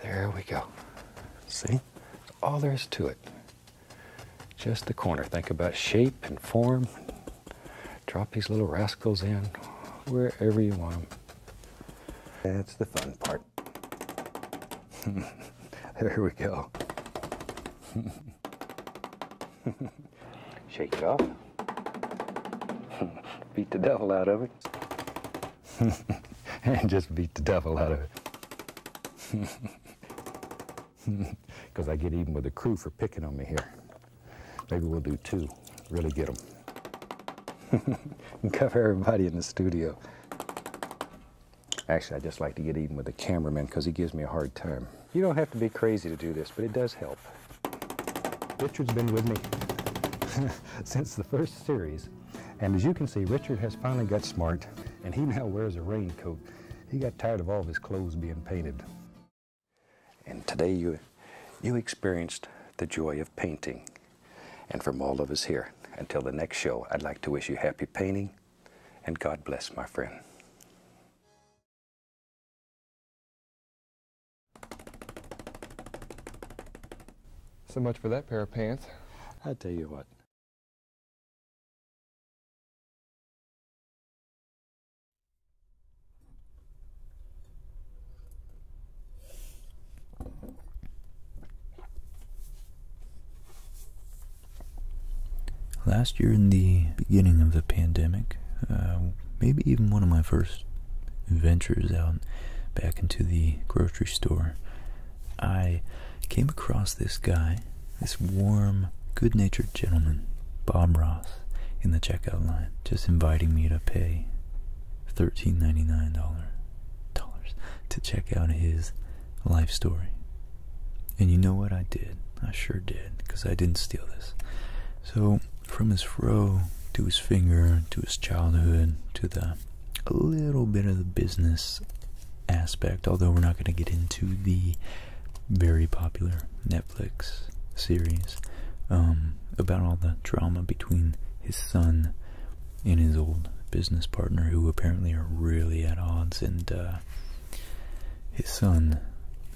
There we go. See? all there is to it. Just the corner. Think about shape and form. Drop these little rascals in wherever you want them. That's the fun part. there we go. Shake it off. Beat the devil out of it. and just beat the devil out of it. Because I get even with the crew for picking on me here. Maybe we'll do two, really get them. Cover everybody in the studio. Actually, I just like to get even with the cameraman because he gives me a hard time. You don't have to be crazy to do this, but it does help. Richard's been with me since the first series and as you can see, Richard has finally got smart, and he now wears a raincoat. He got tired of all of his clothes being painted. And today you, you experienced the joy of painting. And from all of us here, until the next show, I'd like to wish you happy painting, and God bless, my friend. So much for that pair of pants. I tell you what. Last year, in the beginning of the pandemic, uh, maybe even one of my first ventures out back into the grocery store, I came across this guy, this warm, good natured gentleman, Bob Ross, in the checkout line, just inviting me to pay $13.99 dollars to check out his life story. And you know what I did? I sure did, because I didn't steal this. So, from his fro to his finger to his childhood to the a little bit of the business aspect, although we're not going to get into the very popular Netflix series um, about all the drama between his son and his old business partner, who apparently are really at odds, and uh, his son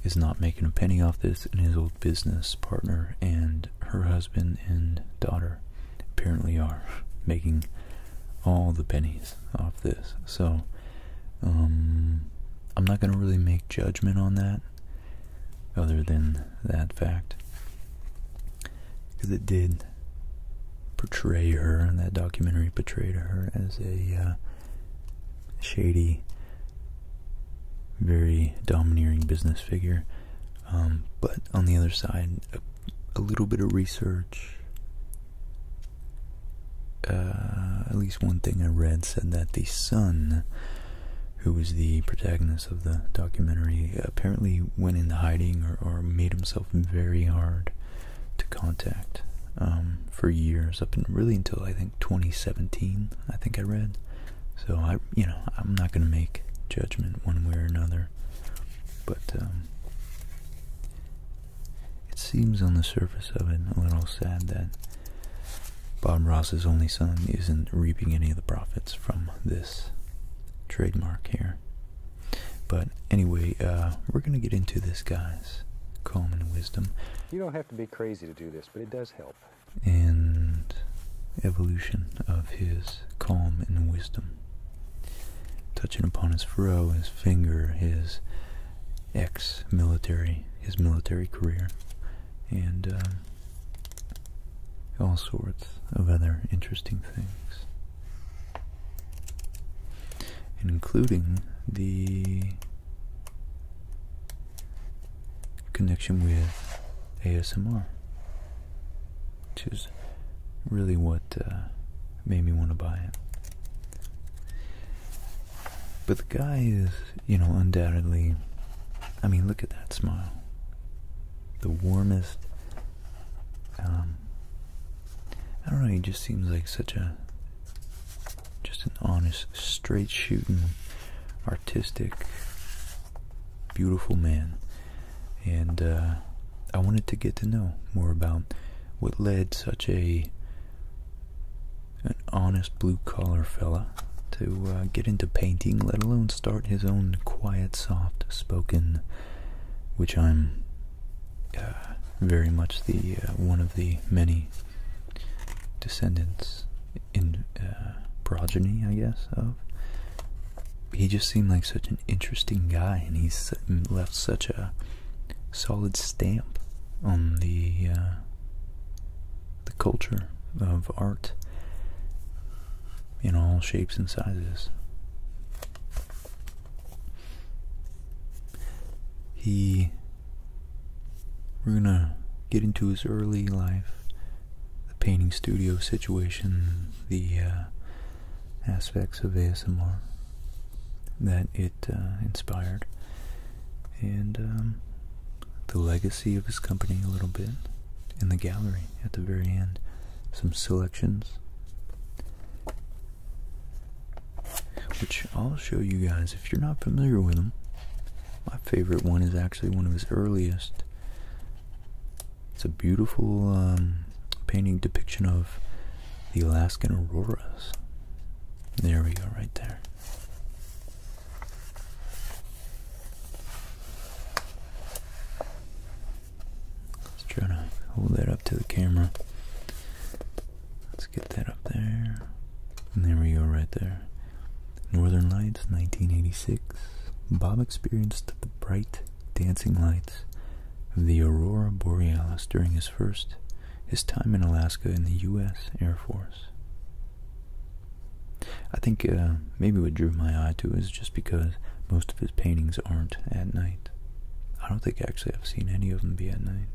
is not making a penny off this, and his old business partner and her husband and daughter apparently are making all the pennies off this. So um, I'm not going to really make judgment on that, other than that fact, because it did portray her, and that documentary portrayed her as a uh, shady, very domineering business figure um, but on the other side, a, little bit of research. Uh, at least one thing I read said that the son, who was the protagonist of the documentary, apparently went into hiding or, made himself very hard to contact um, for years, up and really until I think 2017. I think I read. So I, you know, I'm not gonna make judgment one way or another but um, it seems on the surface of it a little sad that Bob Ross's only son isn't reaping any of the profits from this trademark here. But anyway, uh, we're going to get into this, guys. Calm and wisdom. You don't have to be crazy to do this, but it does help. And evolution of his calm and wisdom. Touching upon his furrow, his finger, his ex military, his military career, and uh, all sorts of other interesting things. including the connection with ASMR, which is really what uh, made me want to buy it. But the guy is, you know, undoubtedly. I mean, look at that smile. The warmest. Um, I don't know. He just seems like such a, just an honest, straight shooting, artistic beautiful man. And uh, I wanted to get to know more about what led such a an honest blue collar fella to uh, get into painting, let alone start his own quiet, soft spoken, which I'm uh, very much the one of the many descendants in progeny, I guess, of he just seemed like such an interesting guy, and he left such a solid stamp on the uh, the culture of art in all shapes and sizes. He we're gonna get into his early life the painting studio situation, the uh, aspects of ASMR that it uh, inspired, and um, the legacy of his company a little bit in the gallery at the very end. Some selections, which I'll show you guys if you're not familiar with them. My favorite one is actually one of his earliest it's a beautiful um, painting depiction of the Alaskan auroras. There we go, right there. Let's to hold that up to the camera. Let's get that up there. there we go, right there. Northern Lights, 1986. Bob experienced the bright dancing lights of the aurora borealis during his first his time in Alaska in the U.S. Air Force. I think uh, maybe what drew my eye to is just because most of his paintings aren't at night. I don't think actually I've seen any of them be at night,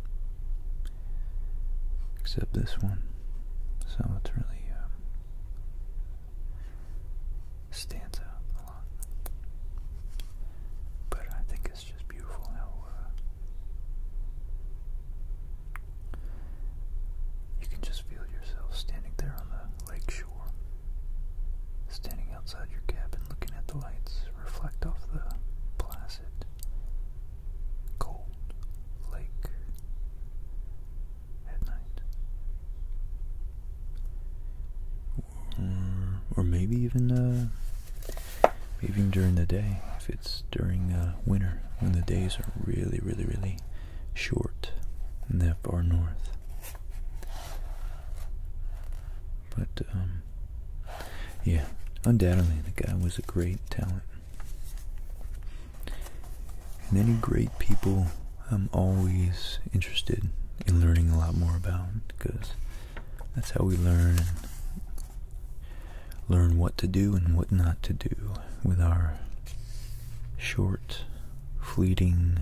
except this one. So it's really uh, stands out. But I think it's just beautiful how uh, you can just feel yourself standing there on the lake shore, standing outside your cabin looking at the lights reflect off the placid, cold lake at night. Or, maybe even uh, even during the day, if it's during uh, winter when the days are really, really, really short in that far north. But um, yeah, undoubtedly the guy was a great talent. Many great people I'm always interested in learning a lot more about because that's how we learn learn what to do and what not to do with our short, fleeting,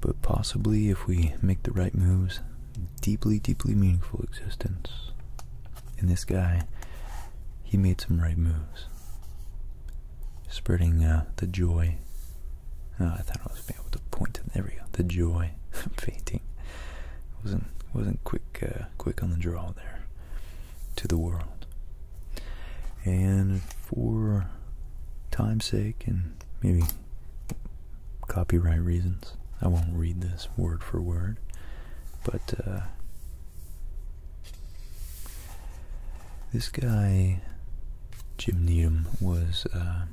but possibly if we make the right moves, deeply, deeply meaningful existence. And this guy, he made some right moves spreading uh, the joy. Oh, I thought I was being able to point. There we go. The joy of painting wasn't wasn't quick uh, quick on the draw there to the world. And for time's sake and maybe copyright reasons, I won't read this word for word, but uh, this guy, Jim Needham, was uh,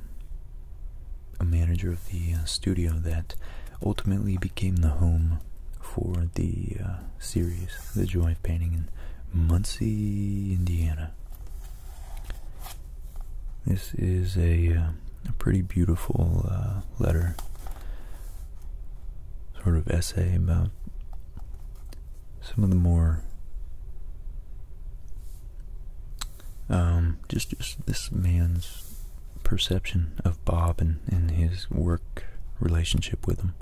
a manager of the uh, studio that ultimately became the home for the uh, series, The Joy of Painting, in Muncie, Indiana. This is a pretty beautiful letter, sort of essay about some of the more um, just just this man's perception of Bob and, and his work relationship with him.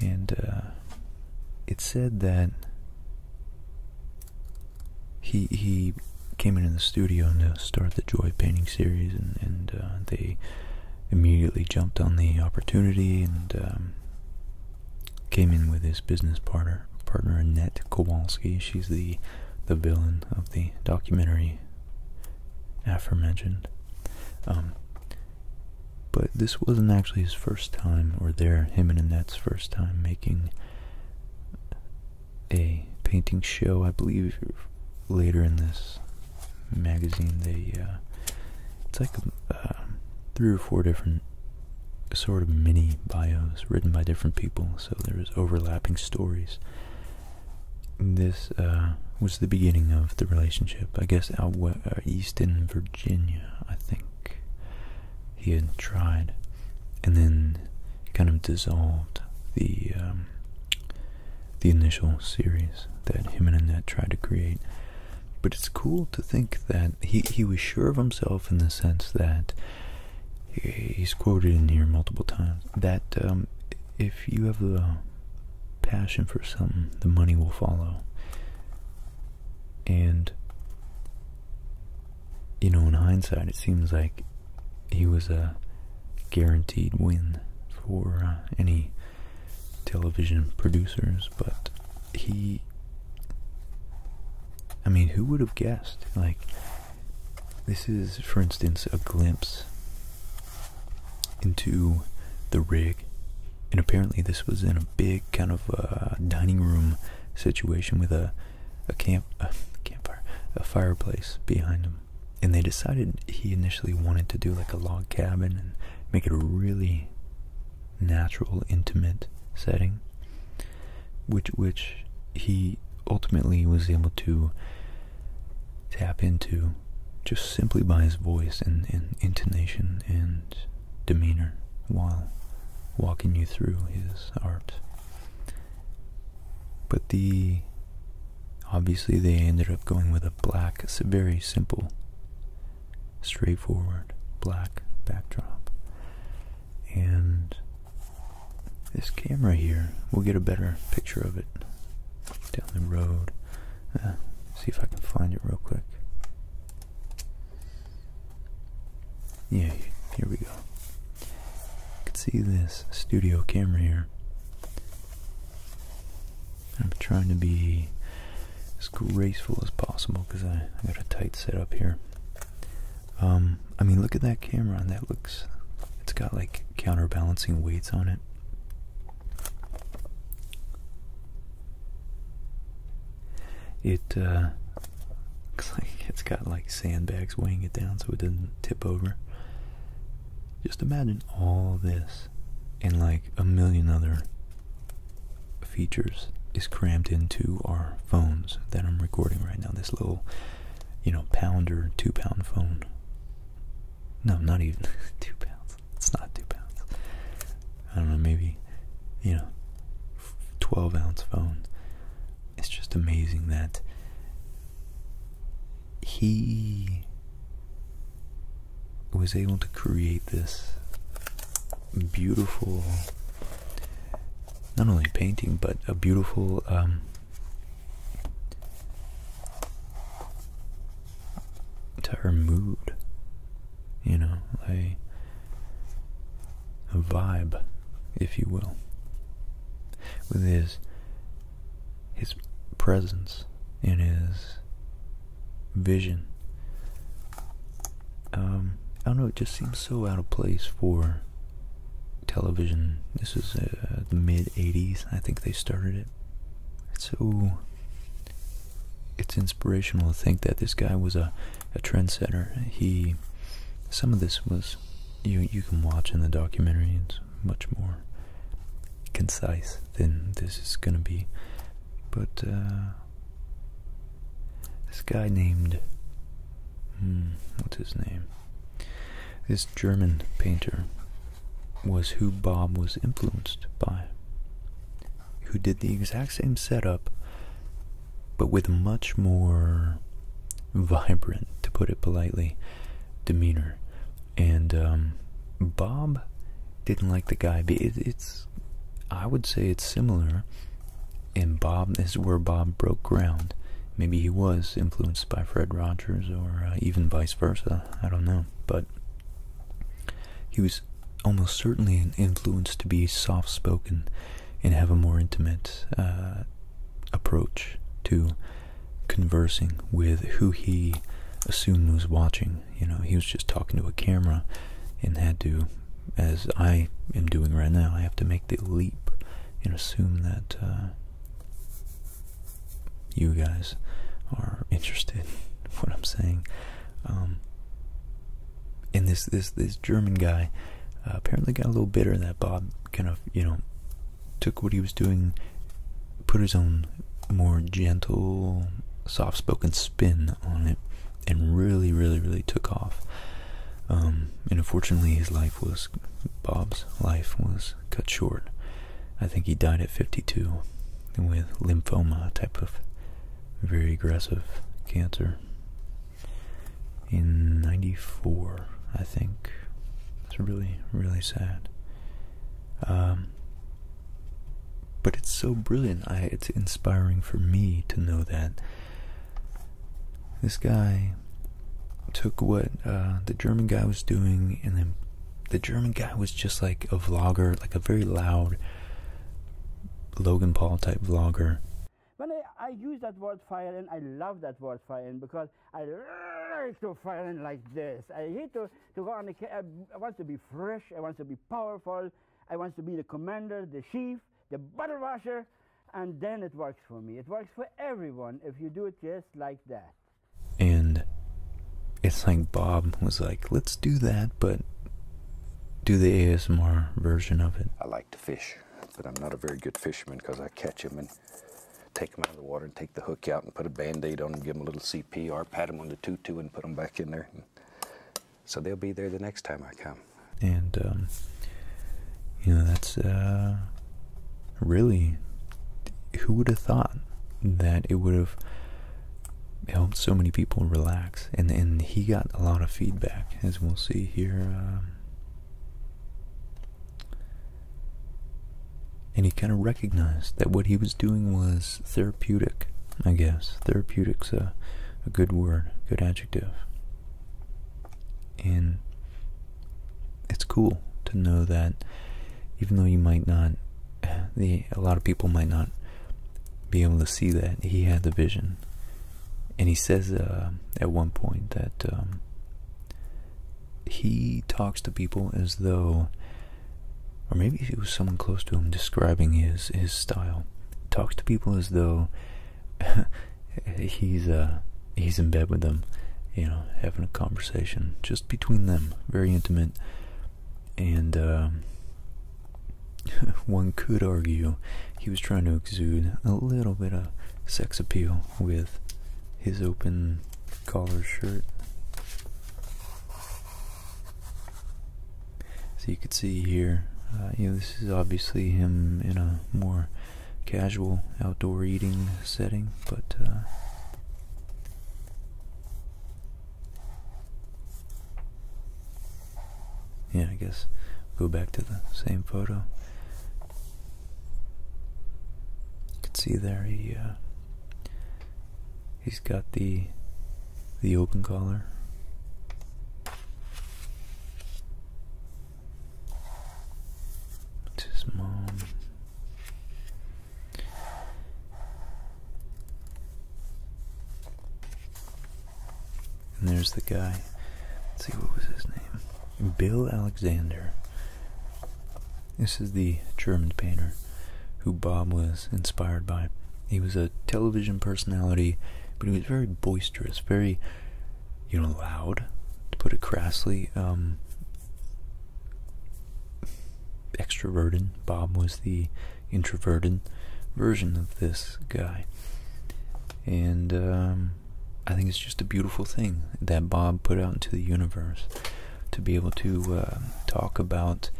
And uh, it said that he he came into the studio to start the Joy painting series, and and uh, they immediately jumped on the opportunity and um, came in with his business partner, partner Annette Kowalski. She's the the villain of the documentary aforementioned. Um, but this wasn't actually his first time, or there, him and Annette's first time making a painting show. I believe later in this magazine they uh, it's like um, three or four different sort of mini bios written by different people so there was overlapping stories this uh, was the beginning of the relationship i guess out west, uh, east in virginia i think he had tried and then kind of dissolved the um, the initial series that him and Annette tried to create but it's cool to think that he, he was sure of himself in the sense that he's quoted in here multiple times that um, if you have a passion for something, the money will follow. And, you know, in hindsight, it seems like he was a guaranteed win for uh, any television producers, but he. I mean, who would have guessed? Like, this is, for instance, a glimpse into the rig. And apparently, this was in a big kind of uh, dining room situation with a a camp a campfire a fireplace behind him. And they decided he initially wanted to do like a log cabin and make it really natural, intimate setting, which which he ultimately was able to tap into just simply by his voice and, and intonation and demeanor while walking you through his art. But the obviously they ended up going with a black, very simple straightforward black backdrop. And this camera here, we'll get a better picture of it down the road. Uh, see if I can find it real quick. Yeah, here we go. You can see this studio camera here. I'm trying to be as graceful as possible because I, got a tight setup here. Um, I mean, look at that camera. That looks, it's got like counterbalancing weights on it. It uh, looks like it's got like sandbags weighing it down so it doesn't tip over. Just imagine all this and like a million other features is crammed into our phones that I'm recording right now. This little, you know, pounder, two pound phone. No, not even two pounds. It's not two pounds. I don't know, maybe, you know, 12 ounce phone. It's just amazing that he was able to create this beautiful, not only painting, but a beautiful um, entire mood. You know, a, a vibe, if you will, with his his presence in his vision. Um, I don't know, it just seems so out of place for television. This is uh, the mid 80s, I think they started it. It's so. It's inspirational to think that this guy was a, a trendsetter. He. Some of this was. You, you can watch in the documentary, it's much more concise. Then this is gonna be. But uh, this guy named hmm, what's his name? This German painter was who Bob was influenced by. Who did the exact same setup, but with much more vibrant, to put it politely, demeanor. And um, Bob didn't like the guy. It, it's, I would say it's similar. in Bob, this is where Bob broke ground. Maybe he was influenced by Fred Rogers, or uh, even vice versa. I don't know, but he was almost certainly influenced to be soft-spoken and have a more intimate uh, approach to conversing with who he assumed was watching you know, he was just talking to a camera and had to, as I am doing right now, I have to make the leap and assume that uh, you guys are interested in what I'm saying. Um, and this this this German guy uh, apparently got a little bitter that Bob kind of you know took what he was doing, put his own more gentle, soft spoken spin on it and really, really, really took off. Um, and unfortunately, his life was Bob's life was cut short. I think he died at 52 with lymphoma, type of very aggressive cancer in 94, I think. It's really, really sad. Um, but it's so brilliant. I it's inspiring for me to know that this guy took what uh, the German guy was doing, and then the German guy was just like a vlogger, like a very loud Logan Paul type vlogger. When I, use that word fire, and I love that word fire, and because I like to firing like this. I hate to, to go on the. I want to be fresh. I want to be powerful. I want to be the commander, the chief, the butter washer, and then it works for me. It works for everyone if you do it just like that. And it's like Bob was like, let's do that, but do the ASMR version of it. I like to fish, but I'm not a very good fisherman because I catch them and take them out of the water and take the hook out and put a band aid on them, give them a little CPR, pat them on the tutu and put them back in there. So they'll be there the next time I come. And, um, you know, that's uh, really who would have thought that it would have helped so many people relax? And, and he got a lot of feedback, as we'll see here. Um, and he kind of recognized that what he was doing was therapeutic, I guess. Therapeutic's a, a good word, good adjective. And it's cool to know that even though you might not, the, a lot of people might not be able to see that, he had the vision. And he says uh, at one point that um, he talks to people as though or maybe it was someone close to him describing his his style. Talks to people as though he's uh, he's in bed with them, you know, having a conversation just between them, very intimate, and um, one could argue he was trying to exude a little bit of sex appeal with his open collar shirt. So you can see here, uh, you know, this is obviously him in a more casual outdoor eating setting, but. Uh, yeah, I guess go back to the same photo. You can see there he uh, He's got the the open collar. It's his mom. And there's the guy. see what was his name. Bill Alexander. This is the German painter who Bob was inspired by he was a television personality, but he was very boisterous, very, you know, loud, to put it crassly. Um, extroverted. Bob was the introverted version of this guy. And um, I think it's just a beautiful thing that Bob put out into the universe to be able to uh, talk about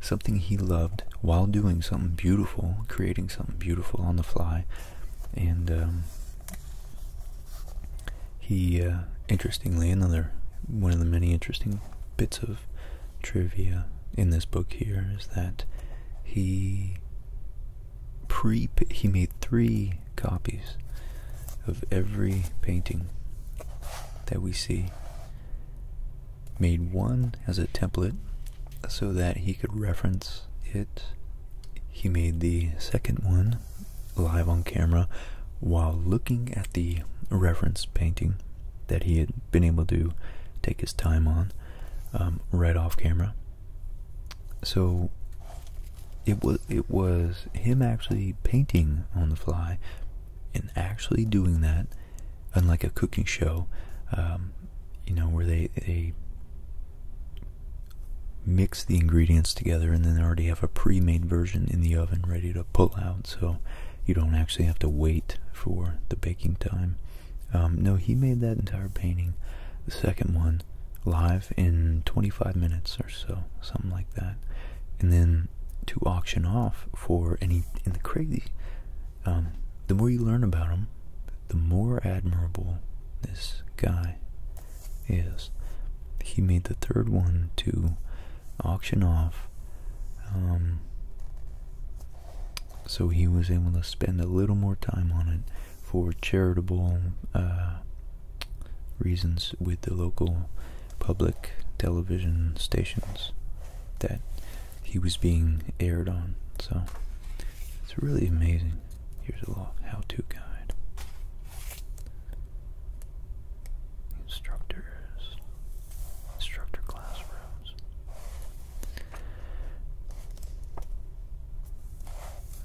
something he loved while doing something beautiful, creating something beautiful on the fly, and um, he, uh, interestingly, another one of the many interesting bits of trivia in this book here is that he pre he made three copies of every painting that we see made one as a template so that he could reference it. He made the second one live on camera while looking at the reference painting that he had been able to take his time on um, right off camera. So it was it was him actually painting on the fly and actually doing that unlike a cooking show, um, you know, where they they mix the ingredients together and then already have a pre-made version in the oven ready to pull out, so you don't actually have to wait for the baking time. Um, no, he made that entire painting, the second one, live in 25 minutes or so, something like that, and then to auction off for any. And the crazy um, the more you learn about him, the more admirable this guy is. He made the third one to auction off. Um, so he was able to spend a little more time on it for charitable uh, reasons with the local public television stations that he was being aired on. So it's really amazing. Here's a little how-to guide. Instructors, instructor classrooms.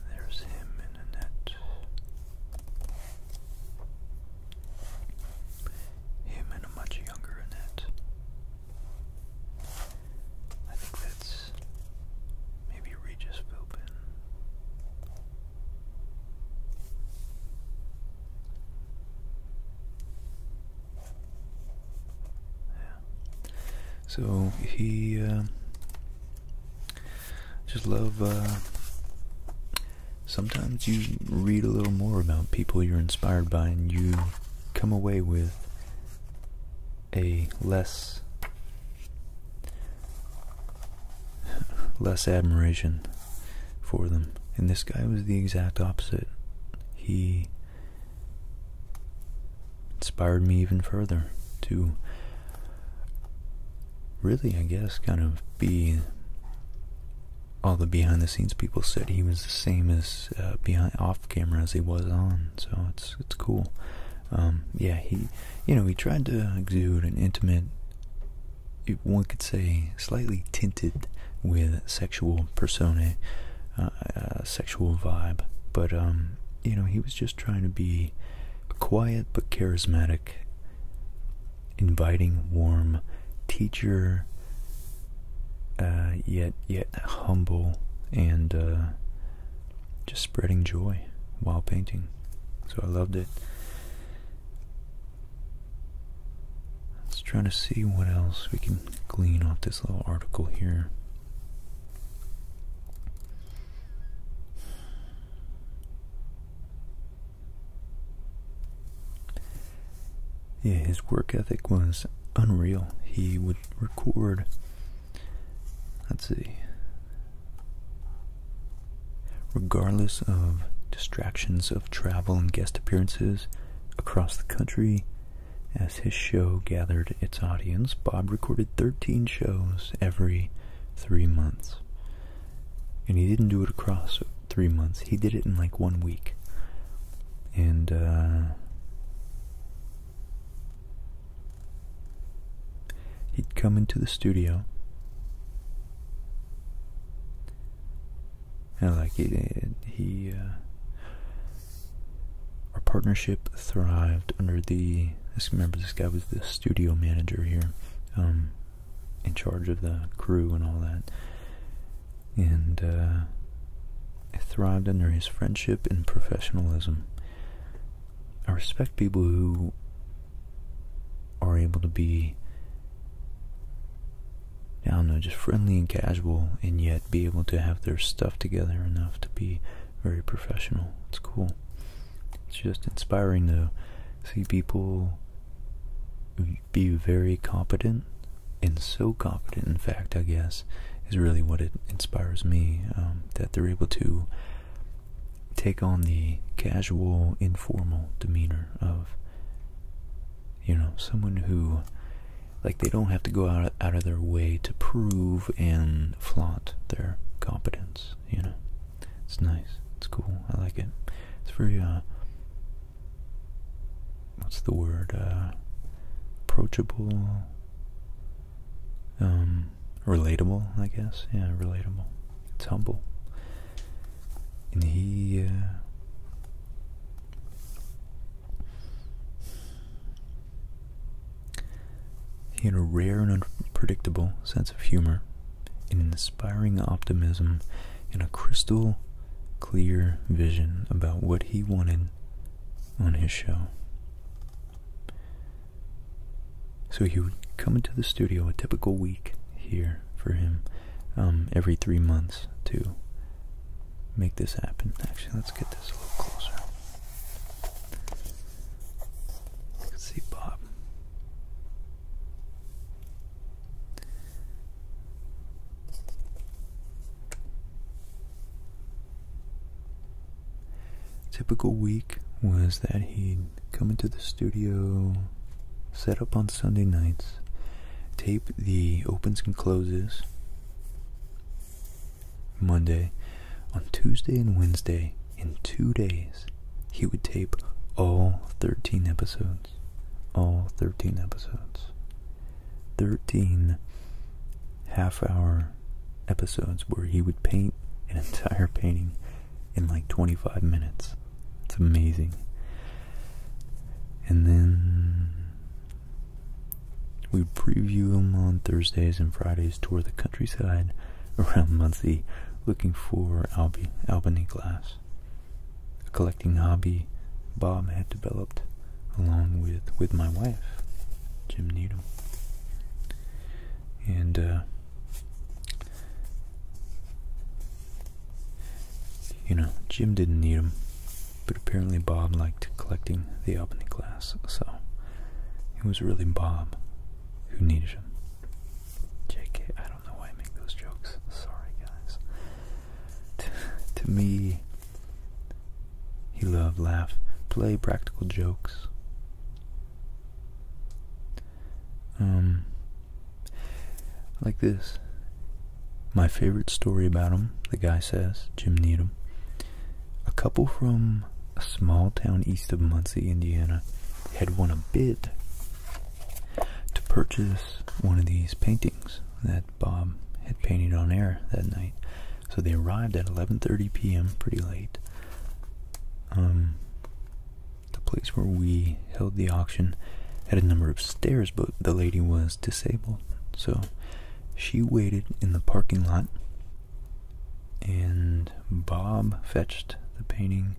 There's him in a net. Him and a much younger Annette. I think that's maybe Regis Philbin. Yeah. So he um, just love. Uh, sometimes you read a little more about people you're inspired by, and you come away with a less less admiration for them. And this guy was the exact opposite. He inspired me even further to really, I guess, kind of be all the behind the scenes people said he was the same as uh, behind off camera as he was on. So it's it's cool. Um, yeah, he you know he tried to exude an intimate, one could say, slightly tinted with sexual persona, uh, uh, sexual vibe. But um, you know he was just trying to be quiet but charismatic, inviting, warm, teacher uh, yet yet humble and uh, just spreading joy while painting. So I loved it. Let's try to see what else we can glean off this little article here yeah, his work ethic was unreal. He would record, let's see, regardless of distractions of travel and guest appearances across the country. As his show gathered its audience, Bob recorded 13 shows every three months. And he didn't do it across three months, he did it in like one week and uh, he'd come into the studio and like he uh, our partnership thrived under the this remember this guy was the studio manager here um in charge of the crew and all that and uh, thrived under his friendship and professionalism. I respect people who are able to be, I don't know, just friendly and casual, and yet be able to have their stuff together enough to be very professional. It's cool. It's just inspiring to see people be very competent and so competent, in fact i guess is really what it inspires me um, that they're able to take on the casual informal demeanor of you know someone who like they don't have to go out out of their way to prove and flaunt their competence you know it's nice it's cool i like it it's very uh, what's the word uh, approachable um, relatable i guess yeah relatable it's humble and he uh, he had a rare and unpredictable sense of humor an inspiring optimism and a crystal clear vision about what he wanted on his show. So he would come into the studio a typical week here for him um, every three months to make this happen. Actually, let's get this a little closer. Let's see Bob. Typical week was that he'd come into the studio, set up on Sunday nights, tape the opens and closes Monday. On Tuesday and Wednesday, in two days, he would tape all 13 episodes. All 13 episodes. 13 half hour episodes where he would paint an entire painting in like 25 minutes. It's amazing. And then we preview them on Thursdays and Fridays, tour the countryside around Muncie looking for Albany glass. A collecting hobby Bob had developed along with with my wife, Jim Needham, and uh, you know Jim didn't need them, but apparently Bob liked collecting the Albany glass, so it was really Bob who needed them. JK, I don't know why I make those jokes. Sorry, guys. to me, he loved laugh, play practical jokes. Um, like this. My favorite story about him, the guy says, Jim Needham. A couple from a small town east of Muncie, Indiana, had won a bid to purchase one of these paintings that Bob had painted on air that night. So they arrived at 11:30 p.m. pretty late. Um, the place where we held the auction had a number of stairs, but the lady was disabled, so she waited in the parking lot. And Bob fetched the painting,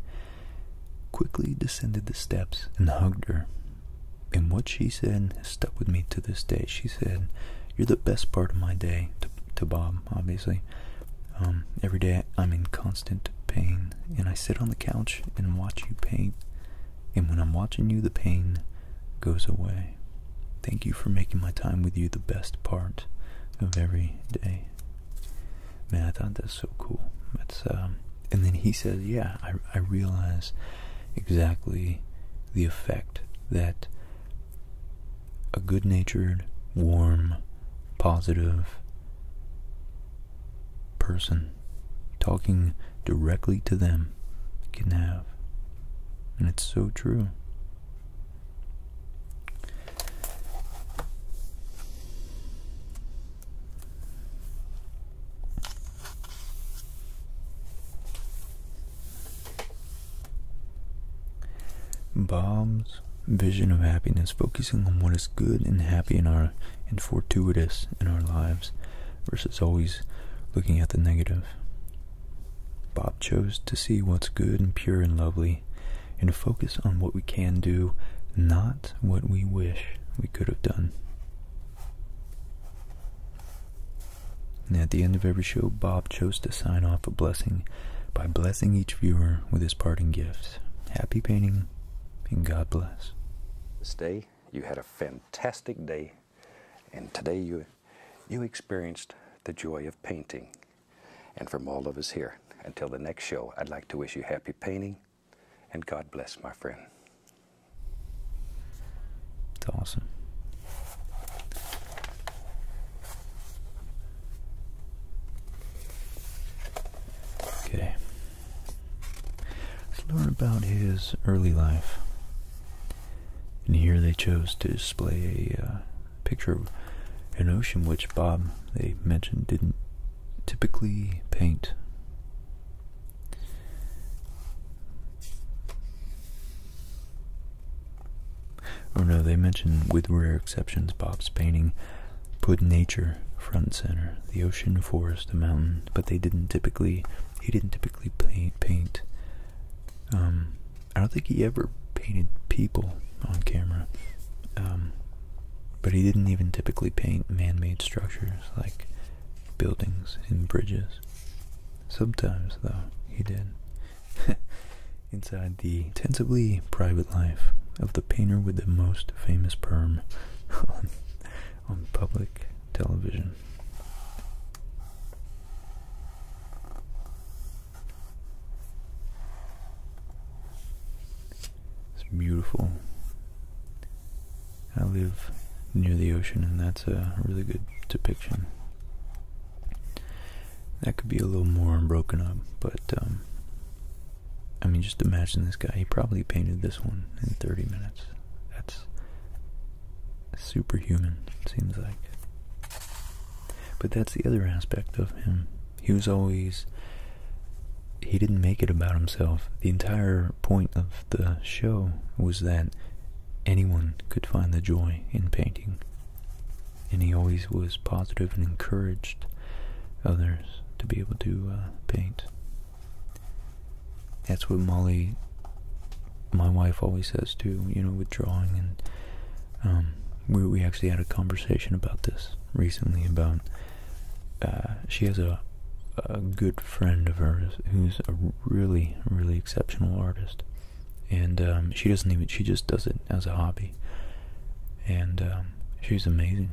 quickly descended the steps, and hugged her and what she said stuck with me to this day. She said, You're the best part of my day, to, Bob, obviously. Um, every day I'm in constant pain, and I sit on the couch and watch you paint. And when I'm watching you, the pain goes away. Thank you for making my time with you the best part of every day. Man, I thought that's so cool. That's um, and then he says, "Yeah, I realize exactly the effect that a good natured, warm, positive person talking directly to them can have. And it's so true. Bob's vision of happiness, focusing on what is good and happy in our and fortuitous in our lives, versus always looking at the negative. Bob chose to see what's good and pure and lovely, and focus on what we can do, not what we wish we could have done. At the end of every show, Bob chose to sign off a blessing by blessing each viewer with his parting gifts. Happy painting, and God bless. This day, you had a fantastic day, and today you, you experienced the joy of painting. And from all of us here, until the next show, I'd like to wish you happy painting, and God bless, my friend. It's awesome. Okay. Let's learn about his early life. And here they chose to display a uh, picture of an ocean which Bob, they mentioned, didn't typically paint. Oh no, they mentioned, with rare exceptions, Bob's painting put nature front center, the ocean, forest, the mountain, but they didn't typically, he didn't typically paint, paint, um, I don't think he ever painted people on camera, um, but he didn't even typically paint man-made structures like buildings and bridges sometimes. though, he did. Inside the intensively private life of the painter with the most famous perm on public television. It's beautiful. I live near the ocean, and that's a really good depiction. That could be a little more broken up, but um, I mean, just imagine this guy. He probably painted this one in 30 minutes. That's superhuman, it seems like. But that's the other aspect of him. He was always. He didn't make it about himself. The entire point of the show was that Anyone could find the joy in painting, and he always was positive and encouraged others to be able to uh, paint. That's what Molly, my wife, always says too, you know, with drawing. And um, we, we actually had a conversation about this recently about uh, she has a, a good friend of hers who's a really, really exceptional artist and um, she doesn't even she just does it as a hobby and um, she's amazing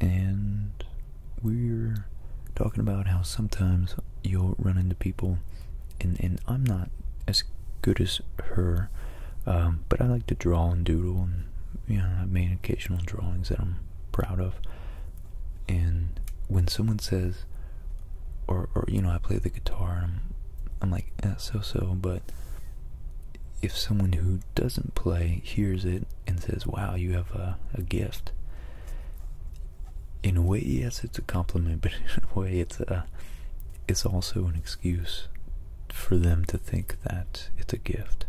and we're talking about how sometimes you'll run into people and, and i'm not as good as her um, but i like to draw and doodle and you i've made occasional drawings that i'm proud of and when someone says or or you know I play the guitar I'm, I'm like eh, so so but if someone who doesn't play hears it and says wow you have a, a gift in a way yes it's a compliment but in a way it's a it's also an excuse for them to think that it's a gift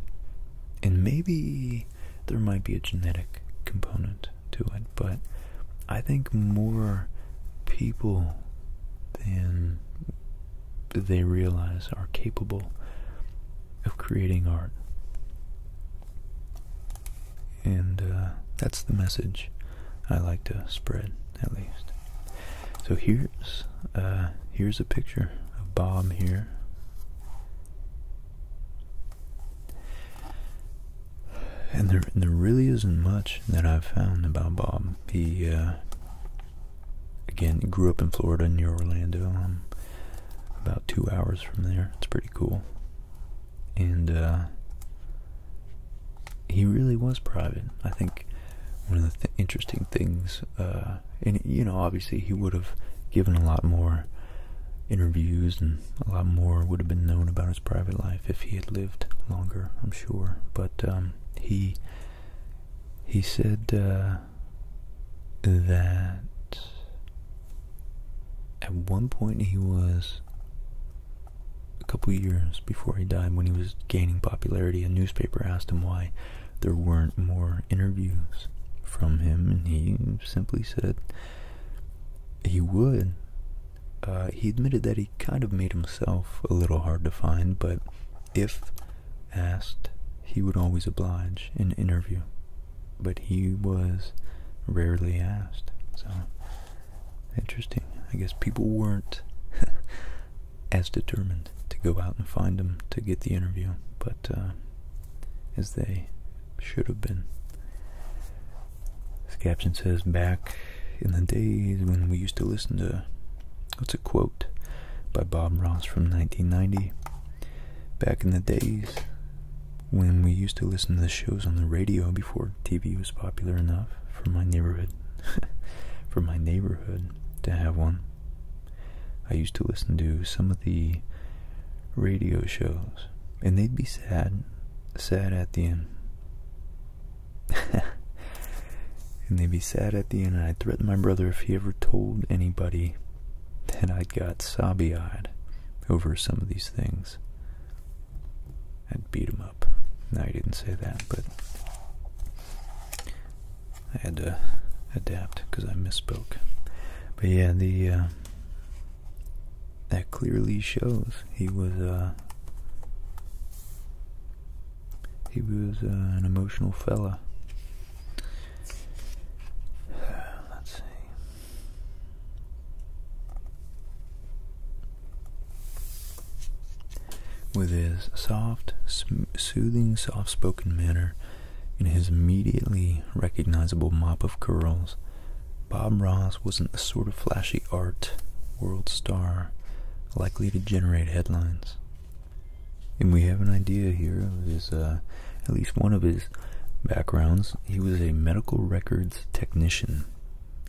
and maybe there might be a genetic component to it, but I think more people than they realize are capable of creating art. And uh, that's the message I like to spread, at least. So here's uh, here's a picture of Bob here. And there, there really isn't much that I've found about Bob. He, uh, again, grew up in Florida, near Orlando. Um, about two hours from there. It's pretty cool. And uh, he really was private. I think one of the interesting things, uh, and you know, obviously he would have given a lot more interviews and a lot more would have been known about his private life if he had lived longer, I'm sure. But um, he he said uh, that at one point he was a couple years before he died, when he was gaining popularity, a newspaper asked him why there weren't more interviews from him, and he simply said he would uh, he admitted that he kind of made himself a little hard to find, but if asked, he would always oblige in an interview. But he was rarely asked, so interesting. I guess people weren't as determined to go out and find him to get the interview, but uh, as they should have been. This caption says, Back in the days when we used to listen to. What's a quote by Bob Ross from 1990? Back in the days when we used to listen to the shows on the radio before TV was popular enough for my neighborhood. for my neighborhood to have one. I used to listen to some of the radio shows and they'd be sad, sad at the end. and they'd be sad at the end, and I would threaten my brother if he ever told anybody that I would got sobby eyed over some of these things, I'd beat him up. No, he didn't say that, but I had to adapt because I misspoke. But yeah, the uh, that clearly shows he was uh he was uh, an emotional fellow. Let's see. With his soft, soothing, soft spoken manner and his immediately recognizable mop of curls, Bob Ross wasn't the sort of flashy art world star likely to generate headlines. And we have an idea here of his, uh, at least one of his backgrounds. He was a medical records technician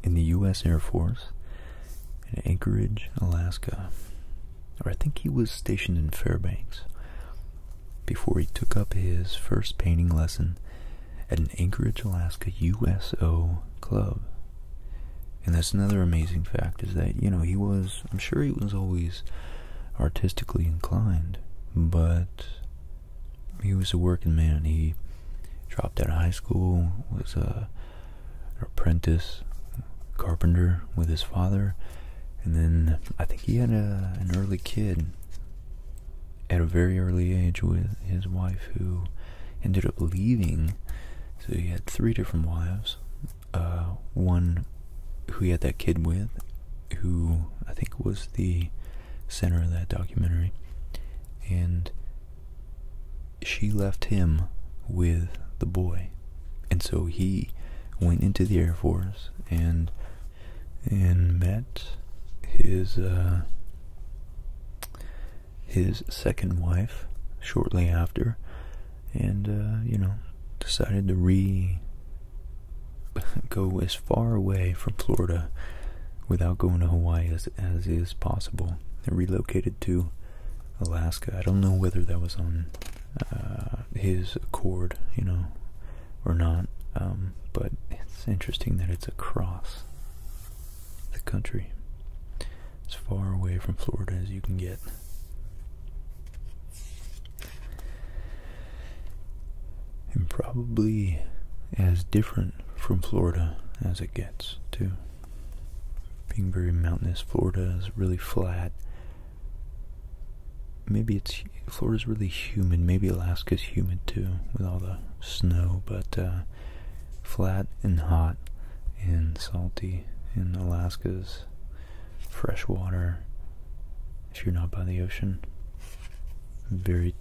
in the U.S. Air Force in Anchorage, Alaska. Or I think he was stationed in Fairbanks before he took up his first painting lesson at an Anchorage, Alaska USO club. And that's another amazing fact is that, you know, he was, I'm sure he was always artistically inclined, but he was a working man. He dropped out of high school, was a, an apprentice carpenter with his father, and then I think he had an early kid at a very early age with his wife, who ended up leaving. So he had three different wives. Uh, one who he had that kid with, who I think was the center of that documentary, and she left him with the boy, and so he went into the Air Force and and met his uh, his second wife shortly after, and uh, you know, decided to re go as far away from Florida without going to Hawaii as, as is possible. And relocated to Alaska. I don't know whether that was on uh, his accord, you know, or not. Um, but it's interesting that it's a cross the country, as far away from Florida as you can get. And probably as different from Florida as it gets, too. Being very mountainous, Florida is really flat. Maybe it's Florida's really humid. Maybe Alaska's humid too, with all the snow. But uh, flat and hot and salty in Alaska's fresh water if you're not by the ocean. Very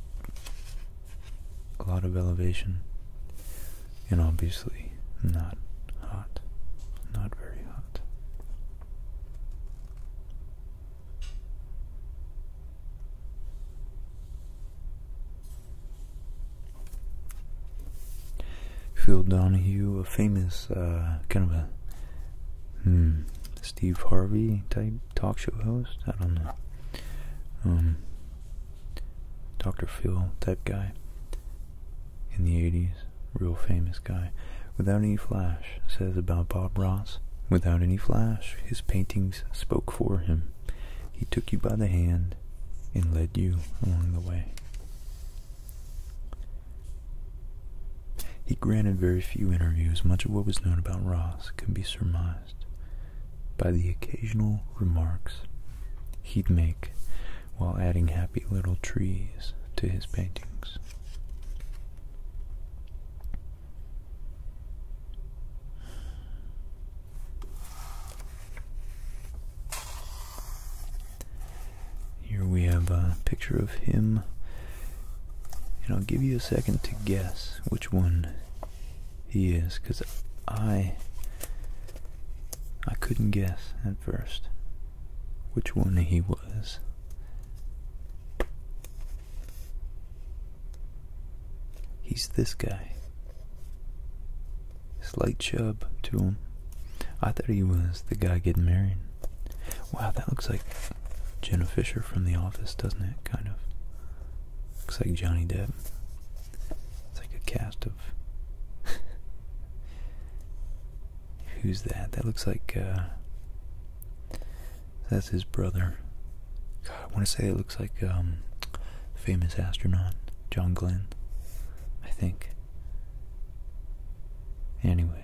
a lot of elevation and obviously not hot. Not very hot. Phil Donahue, a famous uh, kind of a hmm, Steve Harvey type talk show host. I don't know. Um, Dr. Phil type guy in the 80s, real famous guy. Without any flash, says about Bob Ross. Without any flash, his paintings spoke for him. He took you by the hand and led you along the way. He granted very few interviews. Much of what was known about Ross could be surmised by the occasional remarks he'd make while adding happy little trees to his paintings. Here we have a picture of him, and I'll give you a second to guess which one he is, because I I couldn't guess at first which one he was. He's this guy. Slight chub to him. I thought he was the guy getting married. Wow, that looks like Jenna Fisher from The Office, doesn't it? Kind of. Looks like Johnny Depp. It's like a cast of. Who's that? That looks like. Uh, that's his brother. I want to say it looks like um, famous astronaut John Glenn, I think. Anyways,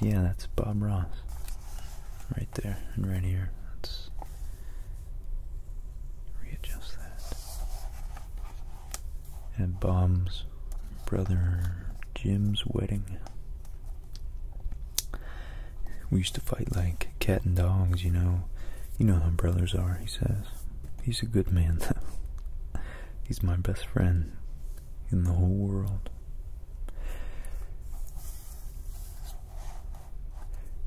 yeah, that's Bob Ross, right there and right here. Let's readjust that. And Bob's brother Jim's wedding. We used to fight like cat and dogs, you know. You know how brothers are, he says. He's a good man, though. He's my best friend in the whole world.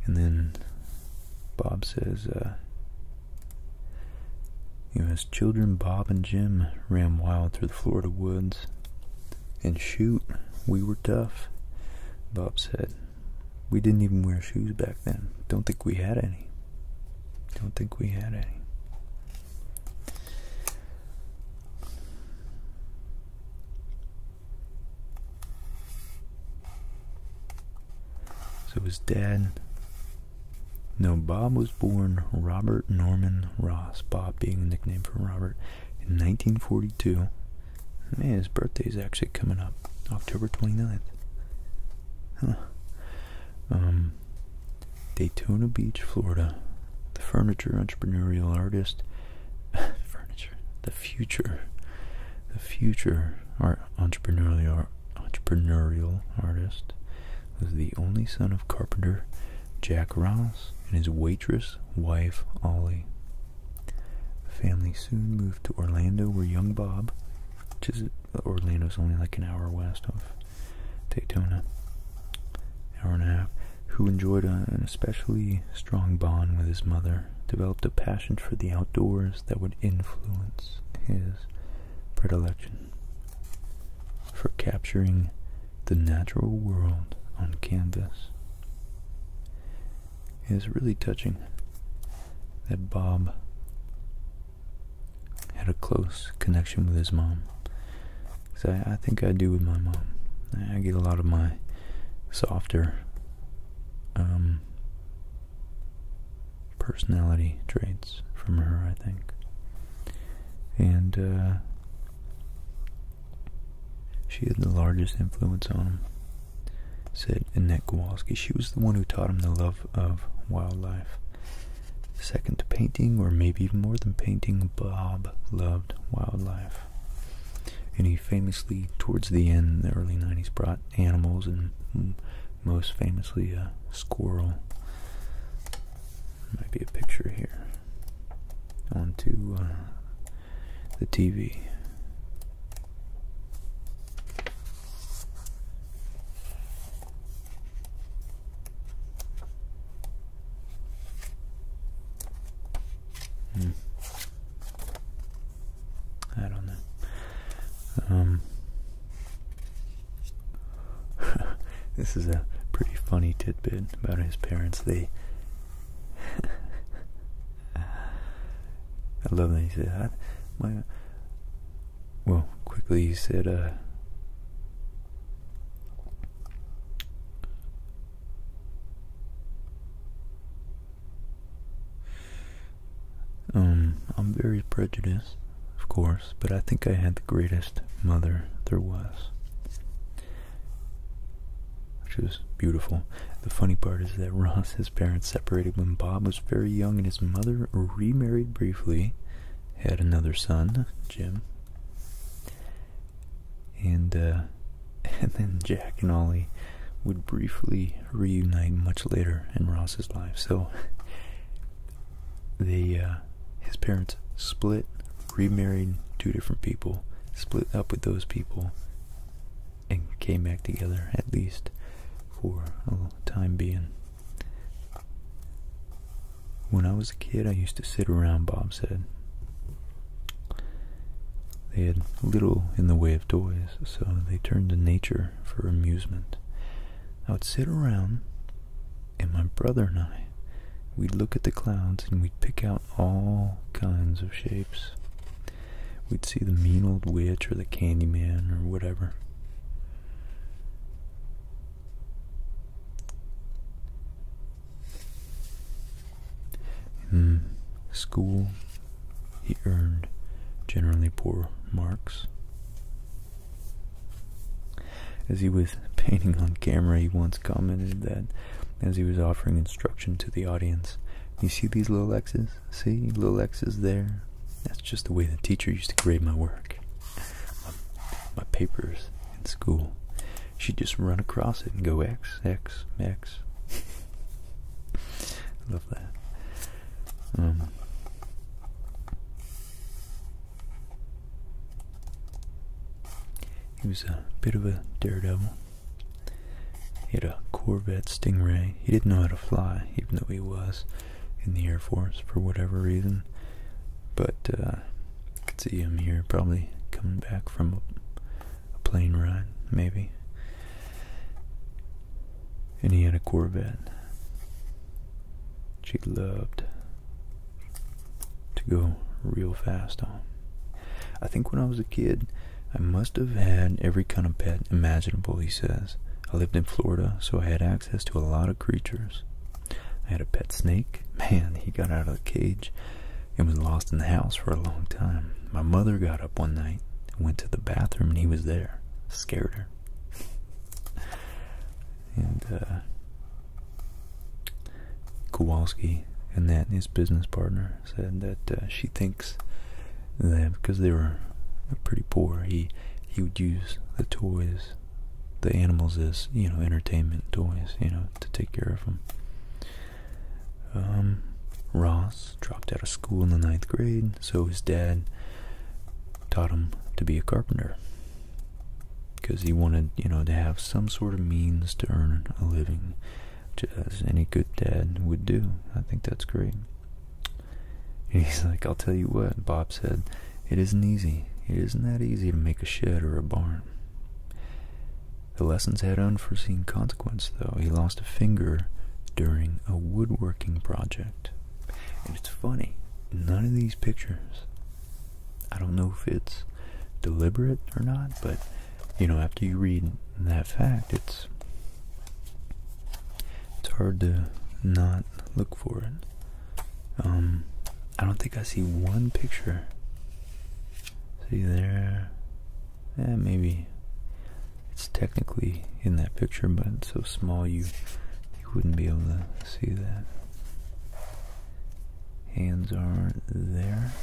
And then Bob says, uh, you know, as children, Bob and Jim ran wild through the Florida woods. And shoot, we were tough, Bob said. We didn't even wear shoes back then. Don't think we had any. Don't think we had any. So was dad. No, Bob was born Robert Norman Ross, Bob being a nickname for Robert, in 1942 Man, his birthday's actually coming up, October 29th. Huh. Um, Daytona Beach, Florida. The furniture entrepreneurial artist. furniture. The future. The future art entrepreneurial entrepreneurial artist was the only son of carpenter Jack Ross and his waitress wife Ollie. The family soon moved to Orlando, where young Bob, which is Orlando's only like an hour west of Daytona, hour and a half, who enjoyed an especially strong bond with his mother, developed a passion for the outdoors that would influence his predilection for capturing the natural world on canvas is really touching that Bob had a close connection with his mom. Because I, think I do with my mom. I get a lot of my softer um, personality traits from her, I think. And uh, she had the largest influence on him said Annette Kowalski. She was the one who taught him the love of wildlife. Second to painting, or maybe even more than painting, Bob loved wildlife. And he famously, towards the end, the early 90s, brought animals and mm, most famously a squirrel. Might be a picture here. On to. Uh, the TV. Hmm. I don't know. Um, this is a pretty funny tidbit about his parents. The. Uh, I love that he said, I, my, well, quickly he said, uh, um, I'm very prejudiced, of course, but I think I had the greatest mother there was which was beautiful. The funny part is that Ross, his parents separated when Bob was very young, and his mother remarried briefly, had another son, Jim, and uh, and then Jack and Ollie would briefly reunite much later in Ross's life. So they, uh, his parents split, remarried two different people, split up with those people, and came back together at least for a time being. When I was a kid, I used to sit around Bob said They had little in the way of toys, so they turned to nature for amusement. I would sit around, and my brother and I, we'd look at the clouds and we'd pick out all kinds of shapes. We'd see the mean old witch or the candy man, or whatever. In hmm. school, he earned generally poor marks. As he was painting on camera, he once commented that as he was offering instruction to the audience, you see these little X's? See, little X's there. That's just the way the teacher used to grade my work, my, papers in school. She'd just run across it and go X X X. love that. Um, he was a bit of a daredevil. He had a Corvette Stingray. He didn't know how to fly, even though he was in the Air Force for whatever reason. But uh, I see him here probably coming back from a plane ride, maybe. And he had a Corvette. She loved to go real fast on. I think when I was a kid, I must have had every kind of pet imaginable, he says. I lived in Florida, so I had access to a lot of creatures. I had a pet snake. Man, he got out of the cage and was lost in the house for a long time. My mother got up one night went to the bathroom, and he was there. Scared her. and uh, Kowalski, and that his business partner, said that uh, she thinks that because they were pretty poor, he he would use the toys, the animals as you know entertainment toys, you know, to take care of them. Um, Ross dropped out of school in the ninth grade, so his dad taught him to be a carpenter because he wanted you know to have some sort of means to earn a living as uh, any good dad would do. I think that's great. And he's like, I'll tell you what, Bob said, it isn't easy. It isn't that easy to make a shed or a barn. The lessons had unforeseen consequence, though. He lost a finger during a woodworking project. And it's funny, none of these pictures, I don't know if it's deliberate or not, but, you know, after you read that fact, it's it's hard to not look for it. Um, I don't think I see one picture. See there, yeah, maybe it's technically in that picture, but it's so small you you wouldn't be able to see that. Hands aren't there.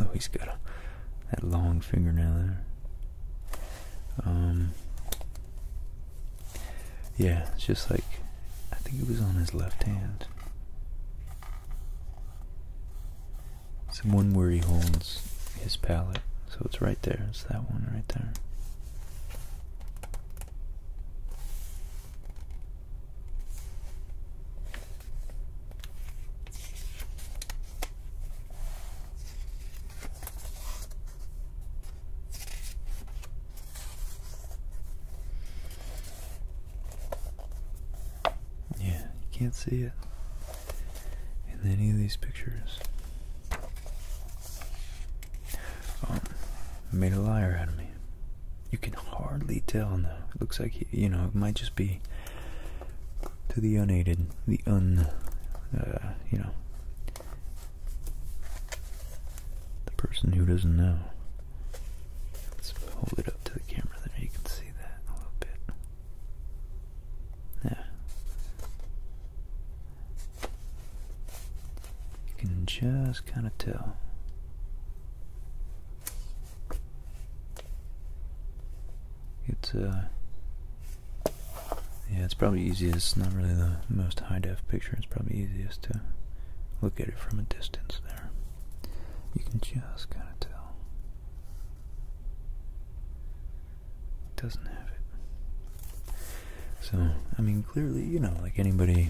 Oh, he's got a that long fingernail there. Um, yeah, it's just like I think it was on his left hand. It's one where he holds his palette, so it's right there. It's that one right there. Yeah, you can't see it in any of these pictures. Um, made a liar out of me. You can hardly tell now. It looks like, you know, it might just be to the unaided, the un, uh, you know, the person who doesn't know. Let's hold it up to the camera, There, you can see that a little bit. Yeah. You can just kind of tell. It's uh yeah, it's probably easiest. not really the most high def picture. It's probably easiest to look at it from a distance there. You can just kind of tell. It doesn't have it. So, I mean, clearly, you know, like anybody,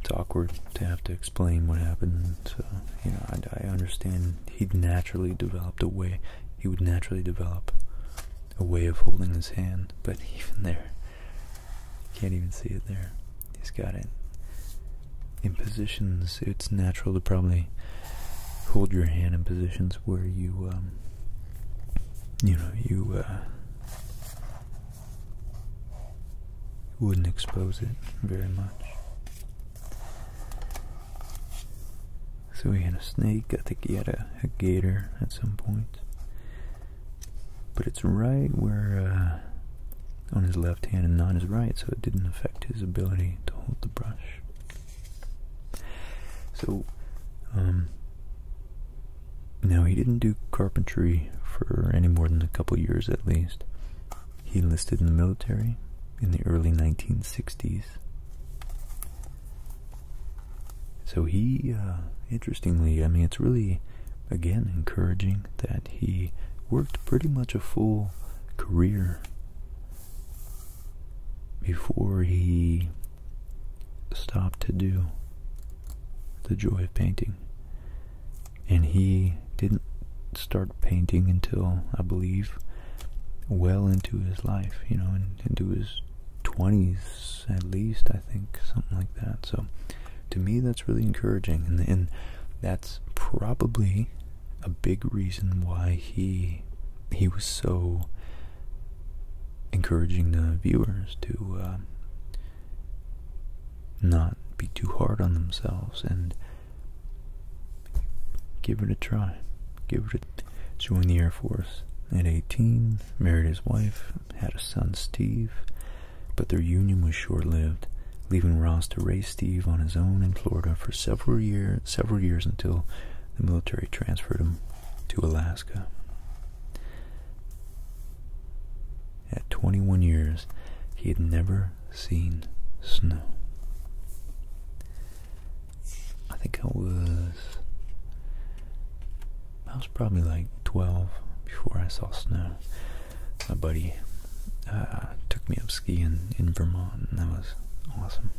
it's awkward to have to explain what happened and uh, you know I, understand he'd naturally developed a way he would naturally develop a way of holding his hand but even there you can't even see it there he's got it in positions it's natural to probably hold your hand in positions where you um, you know you uh, wouldn't expose it very much so we had a snake, I think he had a, gator at some point. But it's right where, uh, on his left hand and not his right, so it didn't affect his ability to hold the brush. So, um, now he didn't do carpentry for any more than a couple years at least. He enlisted in the military in the early 1960s. So he, uh, interestingly, I mean, it's really, again, encouraging that he worked pretty much a full career before he stopped to do the joy of painting. And he didn't start painting until I believe well into his life, you know, into his 20s at least, I think, something like that. So to me, that's really encouraging, and, that's probably a big reason why he he was so encouraging the viewers to uh, not be too hard on themselves and Give it a try. Give it a join the Air Force at 18, married his wife, had a son Steve, but their union was short lived, leaving Ross to raise Steve on his own in Florida for several years several years until the military transferred him to Alaska. At 21 years, he had never seen snow. I think I was, I was probably like 12 before I saw snow. My buddy uh, took me up skiing in Vermont and that was awesome.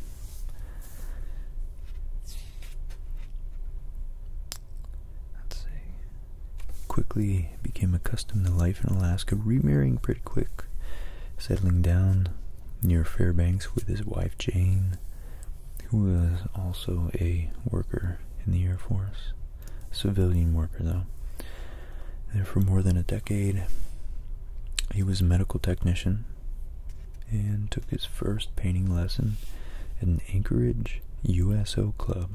Let's see. Quickly became accustomed to life in Alaska, remarrying pretty quick, settling down near Fairbanks with his wife Jane, who was also a worker in the Air Force, civilian worker though. And for more than a decade, he was a medical technician and took his first painting lesson at an Anchorage USO club.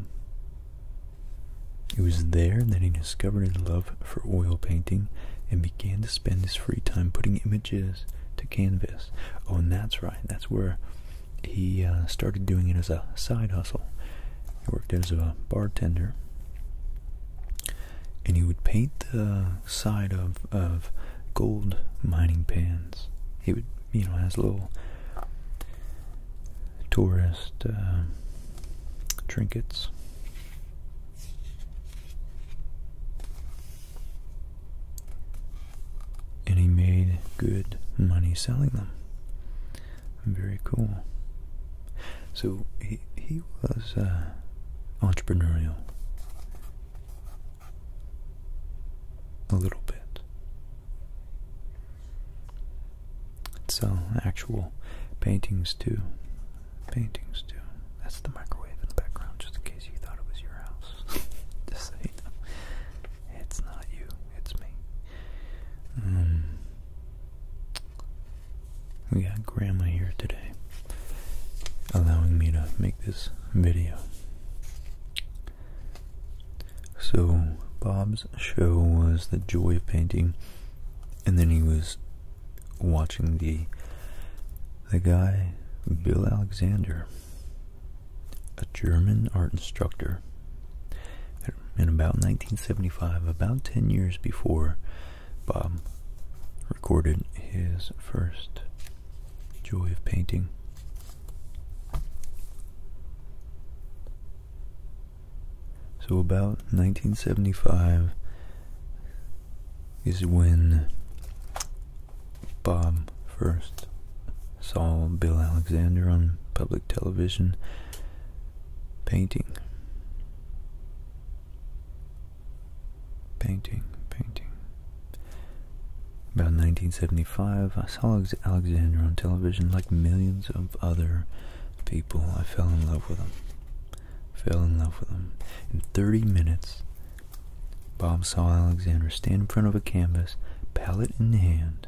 It was there that he discovered his love for oil painting and began to spend his free time putting images to canvas. Oh, and that's right. That's where he uh, started doing it as a side hustle. He worked as a bartender, and he would paint the side of of gold mining pans. He would, you know, as little tourist uh, trinkets. And he made good money selling them. Very cool. So he, he was uh, entrepreneurial a little bit. Sell actual paintings too paintings too. That's the microwave in the background, just in case you thought it was your house. just so it's not you, it's me. Um, we got Grandma here today, allowing me to make this video. So Bob's show was the joy of painting, and then he was watching the the guy Bill Alexander, a German art instructor, in about 1975, about 10 years before Bob recorded his first joy of painting. So about 1975 is when Bob first saw Bill Alexander on public television painting. Painting, painting. About 1975, I saw Alexander on television like millions of other people. I fell in love with him fell in love with him. In 30 minutes, Bob saw Alexander stand in front of a canvas, palette in hand,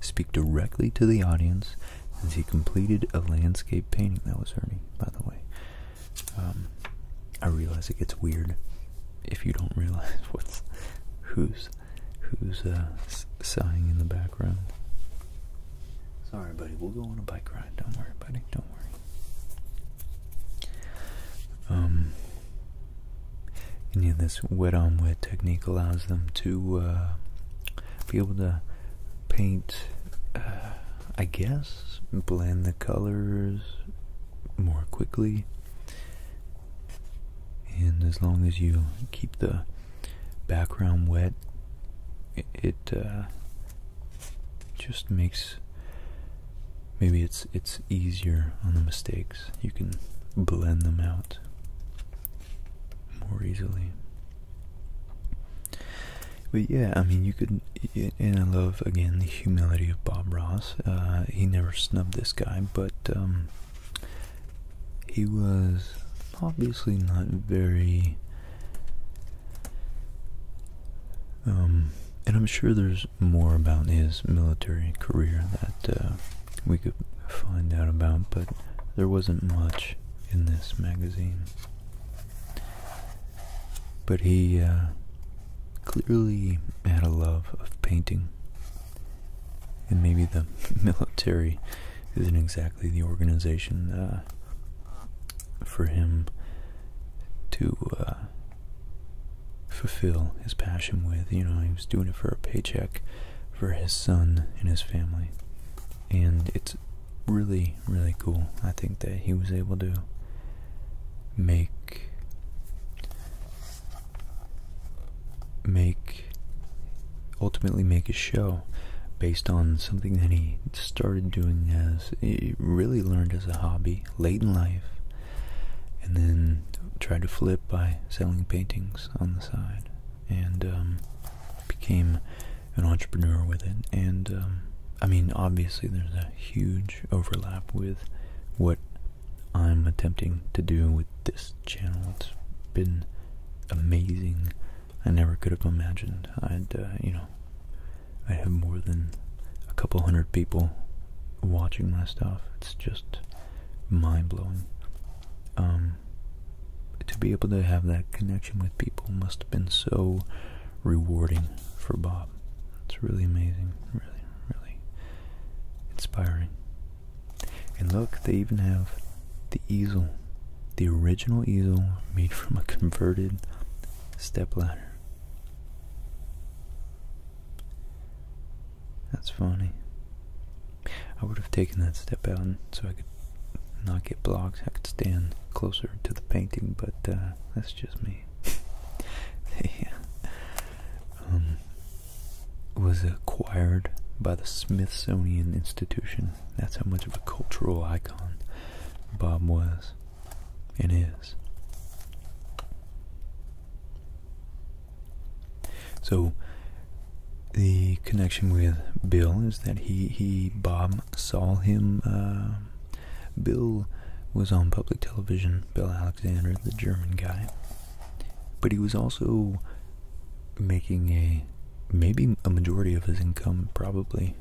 speak directly to the audience as he completed a landscape painting. That was Ernie, by the way. Um, I realize it gets weird if you don't realize what's who's who's uh, sighing in the background. Sorry, buddy. We'll go on a bike ride. Don't worry, buddy. Don't worry. Um, and this wet on wet technique allows them to uh, be able to paint, uh, I guess, blend the colors more quickly. And as long as you keep the background wet, it, uh, just makes maybe it's it's easier on the mistakes. You can blend them out more easily. But yeah, I mean, you could, and I love again the humility of Bob Ross. Uh, he never snubbed this guy, but um, he was obviously not very um, and I'm sure there's more about his military career that uh, we could find out about, but there wasn't much in this magazine. But he uh, clearly had a love of painting. And maybe the military isn't exactly the organization uh, for him to uh, fulfill his passion with. You know, he was doing it for a paycheck for his son and his family. And it's really, really cool. I think that he was able to make make ultimately make a show based on something that he started doing as really learned as a hobby late in life, and then tried to flip by selling paintings on the side, and um, became an entrepreneur with it. And um, I mean, obviously, there's a huge overlap with what I'm attempting to do with this channel. It's been amazing. I never could have imagined I'd, uh, you know, I have more than a couple hundred people watching my stuff. It's just mind blowing. Um, to be able to have that connection with people must have been so rewarding for Bob. It's really amazing, really, really inspiring. And look, they even have the easel, the original easel made from a converted step ladder. That's funny. I would have taken that step out so I could not get blocked. I could stand closer to the painting, but uh, that's just me. they uh, um, was acquired by the Smithsonian Institution. That's how much of a cultural icon Bob was. It is. So the connection with Bill is that he he Bob saw him. Uh, Bill was on public television. Bill Alexander, the German guy, but he was also making a maybe a majority of his income probably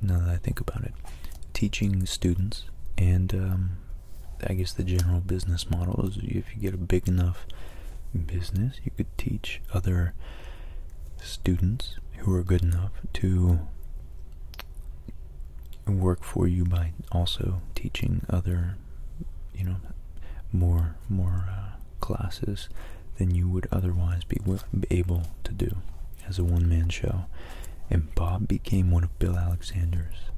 now that I think about it, teaching students and um, I guess the general business model is if you get a big enough business, you could teach other students who are good enough to work for you by also teaching other, you know, more more uh, classes than you would otherwise be able to do as a one man show, and Bob became one of Bill Alexander's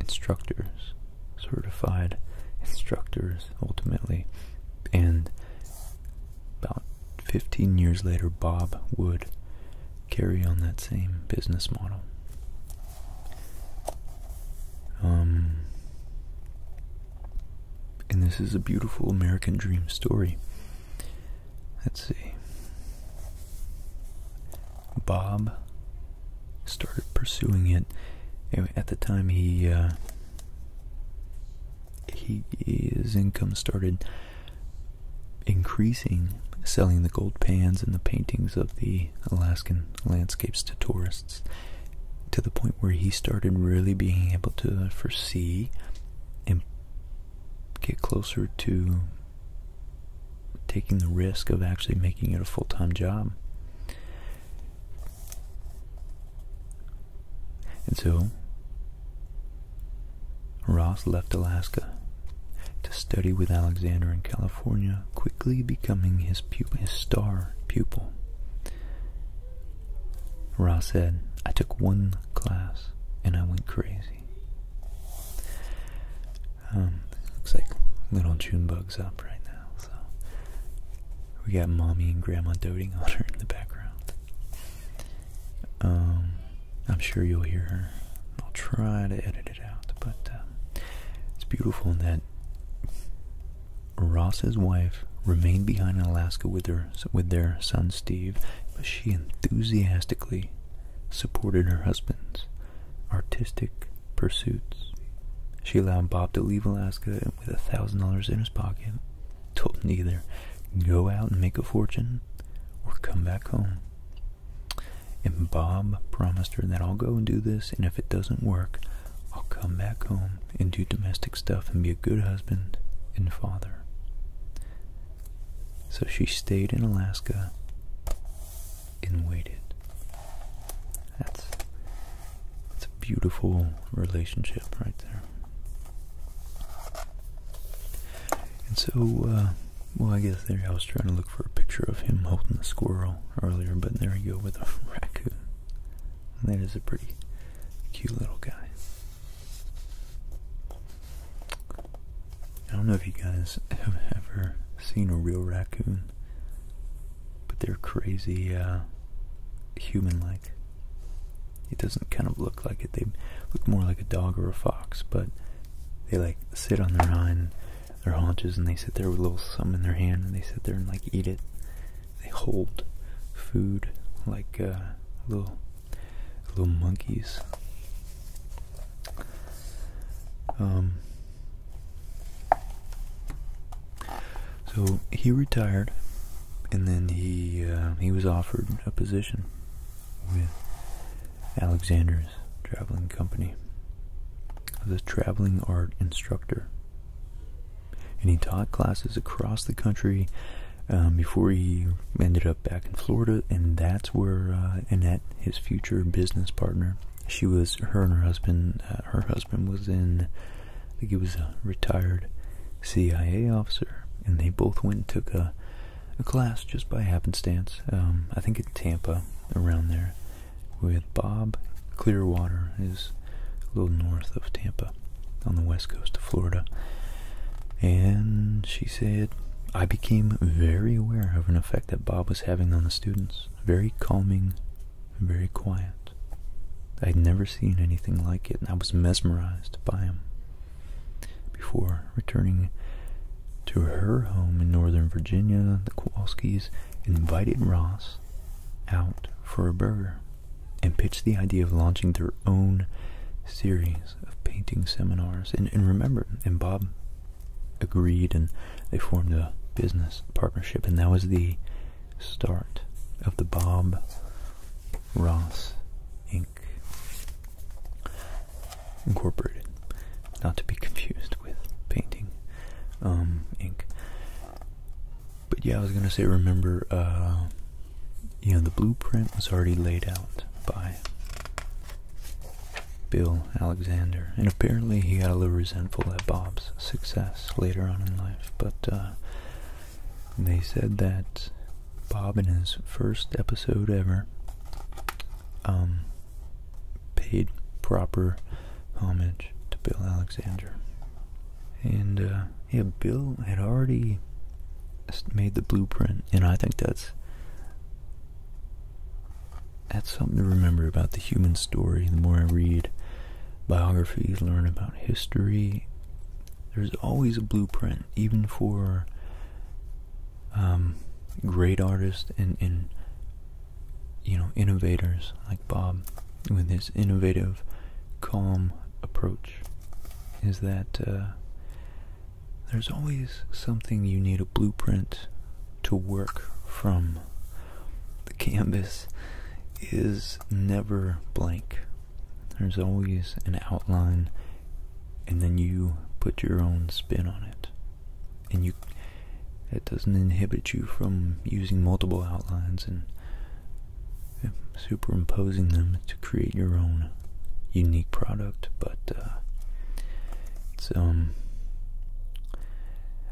instructors, certified instructors ultimately. And about 15 years later, Bob would carry on that same business model. Um, and this is a beautiful American dream story. Let's see. Bob started pursuing it. at the time he uh, he his income started increasing, selling the gold pans and the paintings of the Alaskan landscapes to tourists, to the point where he started really being able to foresee get closer to taking the risk of actually making it a full time job. And so, Ross left Alaska to study with Alexander in California, quickly becoming his, his star pupil. Ross said, I took one class, and I went crazy. Um, looks like little June bugs up right now, so we got mommy and grandma doting on her in the background. Um, I'm sure you'll hear her. I'll try to edit it out, but um, it's beautiful that Ross's wife remained behind in Alaska with her with their son Steve, but she enthusiastically supported her husband's artistic pursuits. She allowed Bob to leave Alaska with a thousand dollars in his pocket, told him either go out and make a fortune or come back home. And Bob promised her that I'll go and do this, and if it doesn't work, I'll come back home and do domestic stuff and be a good husband and father. So she stayed in Alaska and waited. That's that's a beautiful relationship right there. And so, uh, well, I guess there I was trying to look for a picture of him holding a squirrel earlier, but there you go with a raccoon. And that is a pretty cute little guy. I don't know if you guys have ever seen a real raccoon, but they're crazy uh, human-like. It doesn't kind of look like it. They look more like a dog or a fox, but they like sit on their hind, their haunches, and they sit there with a little something in their hand, and they sit there and like eat it. They hold food like uh, little little monkeys. Um, so he retired, and then he uh, he was offered a position with Alexander's traveling company as a traveling art instructor, and he taught classes across the country um, before he ended up back in Florida, and that's where uh, Annette, his future business partner, she was her and her husband. Uh, her husband was in, I think he was a retired CIA officer, and they both went and took a, a class just by happenstance. Um, I think in Tampa, around there, with Bob Clearwater, is a little north of Tampa, on the west coast of Florida. And she said I became very aware of an effect that Bob was having on the students. Very calming, very quiet. I had never seen anything like it, and I was mesmerized by him. Before returning to her home in Northern Virginia, the Kowalskis invited Ross out for a burger and pitched the idea of launching their own series of painting seminars. And, and remember, and Bob agreed and they formed a business partnership. And that was the start of the Bob Ross Inc. Incorporated. Not to be confused with painting um, ink. But yeah, I was going to say, remember, uh, you know, the blueprint was already laid out by Bill Alexander, and apparently he got a little resentful at Bob's success later on in life, but uh, they said that Bob, in his first episode ever, um, paid proper homage to Bill Alexander. And, uh, yeah, Bill had already made the blueprint, and I think that's that's something to remember about the human story. The more I read biographies, learn about history, there's always a blueprint, even for um, great artists and, you know innovators like Bob with his innovative, calm approach. Is that uh, there's always something you need a blueprint to work from. The canvas is never blank. There's always an outline, and then you put your own spin on it. And you it doesn't inhibit you from using multiple outlines and superimposing them to create your own unique product, but uh, it's um.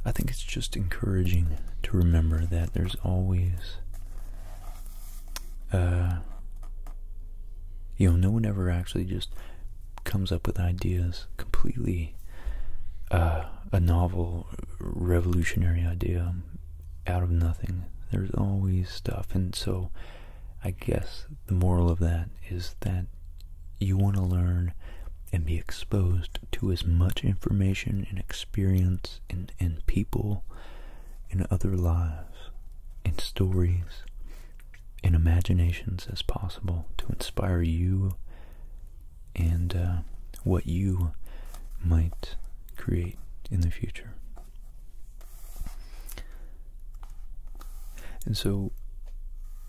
I think it's just encouraging to remember that there's always, uh, you know, no one ever actually just comes up with ideas completely, uh, a novel, revolutionary idea out of nothing. There's always stuff, and so I guess the moral of that is that you want to learn and be exposed to as much information and experience and, people and other lives and stories and imaginations as possible to inspire you and uh, what you might create in the future. And so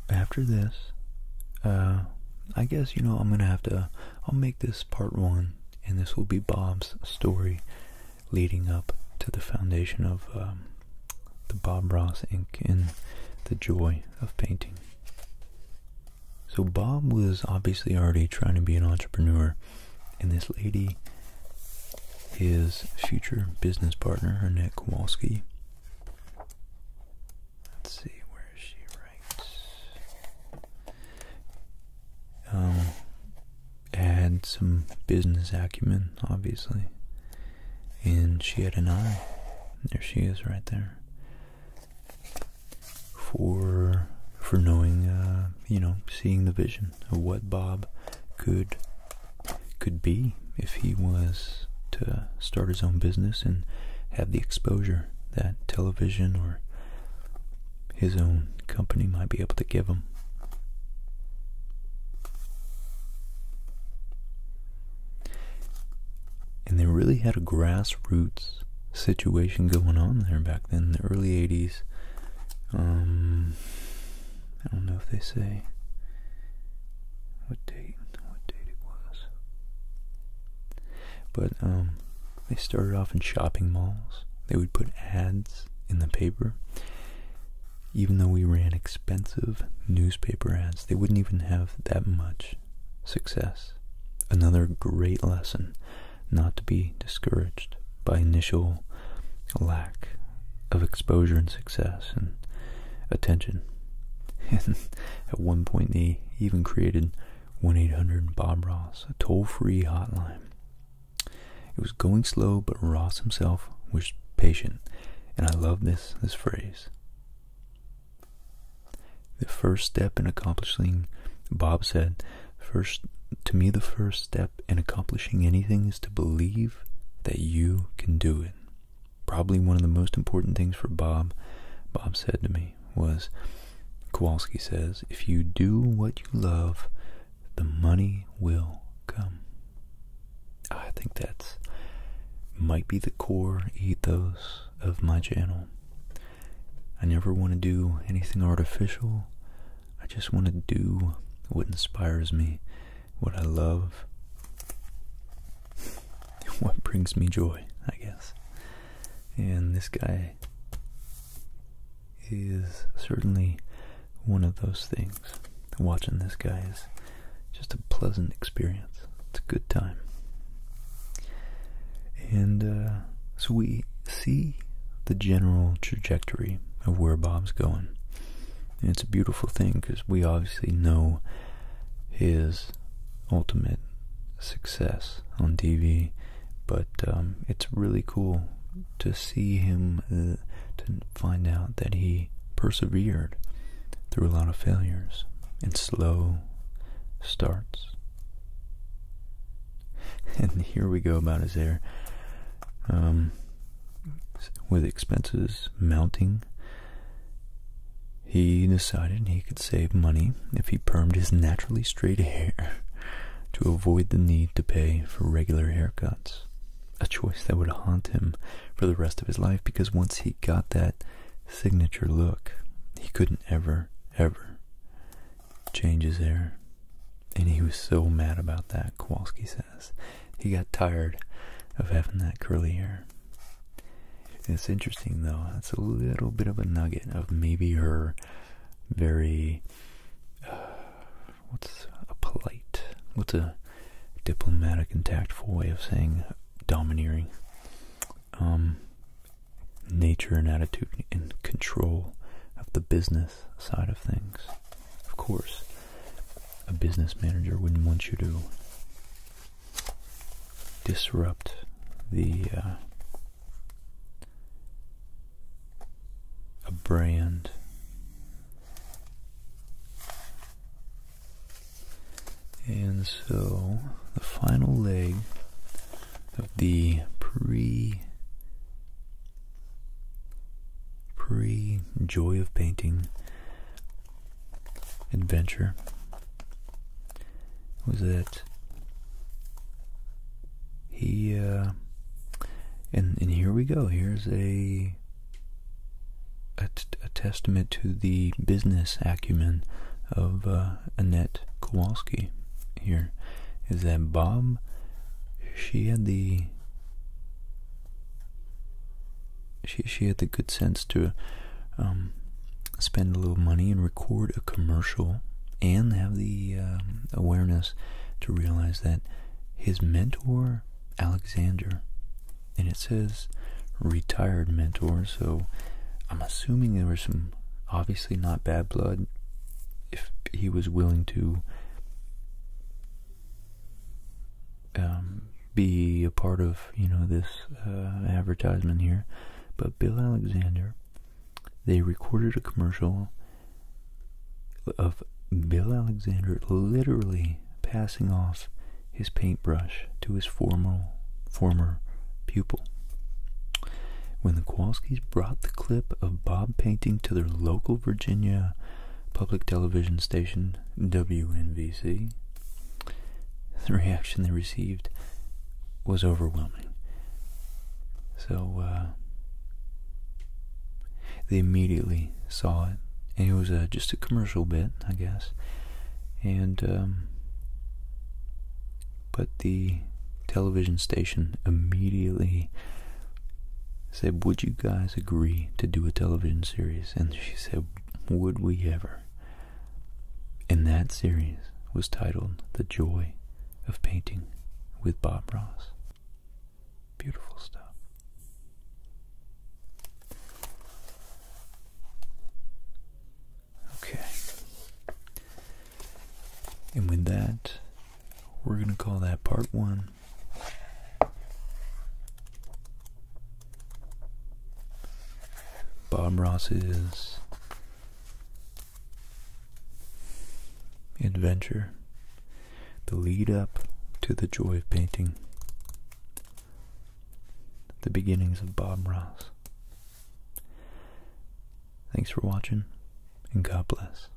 after this, uh, I guess, you know, I'm going to have to, I'll make this part one, and this will be Bob's story leading up to the foundation of um, the Bob Ross ink and the joy of painting. So Bob was obviously already trying to be an entrepreneur, and this lady his future business partner, Annette Kowalski. Let's see, where is she right? Um, had some business acumen, obviously, and she had an eye. There she is, right there. For for knowing, uh, you know, seeing the vision of what Bob could could be if he was to start his own business and have the exposure that television or his own company might be able to give him. And they really had a grassroots situation going on there back then in the early 80s. I don't know if they say what date, what date it was. But um, they started off in shopping malls. They would put ads in the paper. Even though we ran expensive newspaper ads, they wouldn't even have that much success. Another great lesson not to be discouraged by initial lack of exposure and success and attention. at one point, they even created 1 800 Bob Ross, a toll free hotline. It was going slow, but Ross himself was patient. And I love this, this phrase. The first step in accomplishing, Bob said, first to me, the first step in accomplishing anything is to believe that you can do it. Probably one of the most important things for Bob, Bob said to me, was Kowalski says, if you do what you love, the money will come. I think that's might be the core ethos of my channel. I never want to do anything artificial. I just want to do what inspires me, what I love, what brings me joy, I guess. And this guy is certainly one of those things. Watching this guy is just a pleasant experience. It's a good time. And uh, so we see the general trajectory of where Bob's going it's a beautiful thing because we obviously know his ultimate success on TV, but um, it's really cool to see him uh, to find out that he persevered through a lot of failures and slow starts. And here we go about his hair. Um, with expenses mounting, he decided he could save money if he permed his naturally straight hair to avoid the need to pay for regular haircuts. A choice that would haunt him for the rest of his life because once he got that signature look, he couldn't ever, ever change his hair. And he was so mad about that, Kowalski said. He got tired of having that curly hair. It's interesting though, it's a little bit of a nugget of maybe her very, uh, what's a polite, what's a diplomatic and tactful way of saying domineering, um, nature and attitude and control of the business side of things. Of course, a business manager wouldn't want you to disrupt the uh, a brand and so the final leg of the pre pre joy of painting adventure was that he uh, and and here we go here's a a, testament to the business acumen of uh, Annette Kowalski here is that bomb. she had the she she had the good sense to um, spend a little money and record a commercial and have the um, awareness to realize that his mentor Alexander and it says retired mentor so I'm assuming there was some obviously not bad blood if he was willing to um, be a part of you know this uh, advertisement here, but Bill Alexander, they recorded a commercial of Bill Alexander literally passing off his paintbrush to his former former pupil. When the Kowalskis brought the clip of Bob painting to their local Virginia public television station WNBC, the reaction they received was overwhelming. So, uh, they immediately saw it. And it was uh, just a commercial bit, I guess. And, um, but the television station immediately said, Would you guys agree to do a television series? And she said, Would we ever? And that series was titled The Joy of Painting with Bob Ross. Beautiful stuff. Okay. And with that, we're going to call that part one Bob Ross's adventure, the lead up to the joy of painting, the beginnings of Bob Ross. Thanks for watching, and God bless.